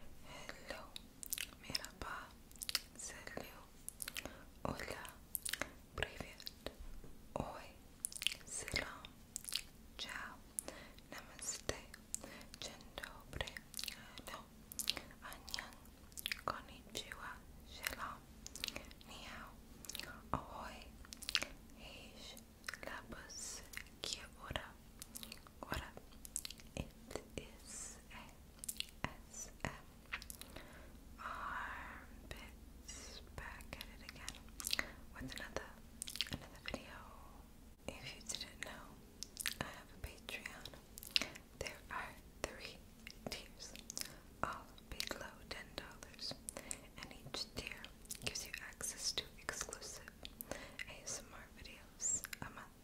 Hello, merhaba, selam, hola, привет, oi, selam, ciao, namaste, dzień dobry, konnichiwa, selam, ni hao, ahoy, heish, kia ora, what up? It is a S M Armpits back at it again with another another video. If you didn't know, I have a Patreon. There are three tiers, all below ten dollars, and each tier gives you access to exclusive ASMR videos a month.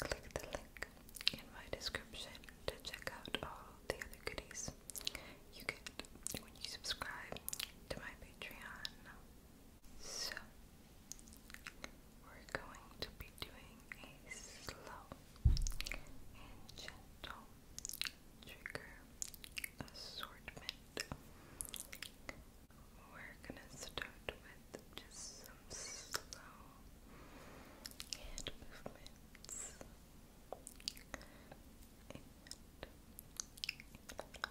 Click the link in my description to check out all the other goodies you get when you subscribe to my Patreon. So, we're going to be doing a slow and gentle trigger assortment we're gonna start with just some slow hand movements. And I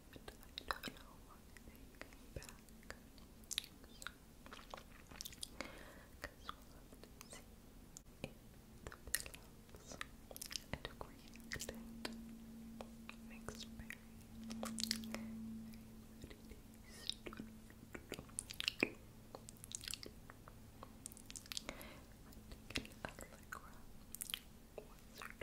it. I don't know why they came back. because we'll have to the pillows and created mixed berry. I've taken Allegra once or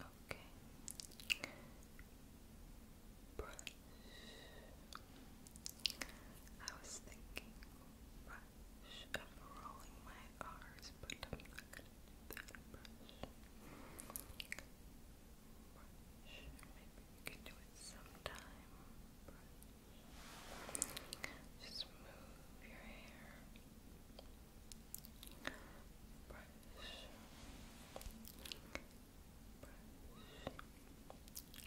Okay. Brush. I was thinking brush. i rolling my R's, Brush. Maybe we can do it sometime. Brush. Just move your hair. Brush. Brush.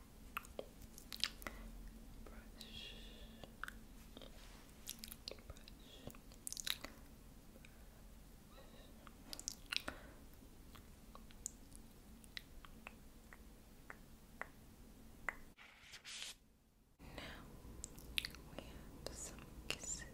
Now we have some kisses.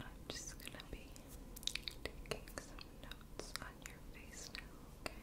I'm just gonna be taking some notes on your face now, okay?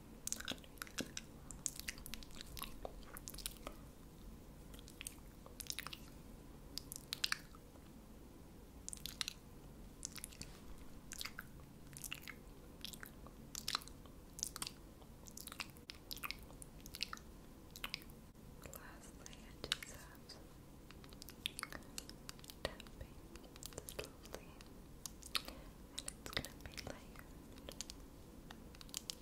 Lastly, I just have tapping and it's gonna be layered.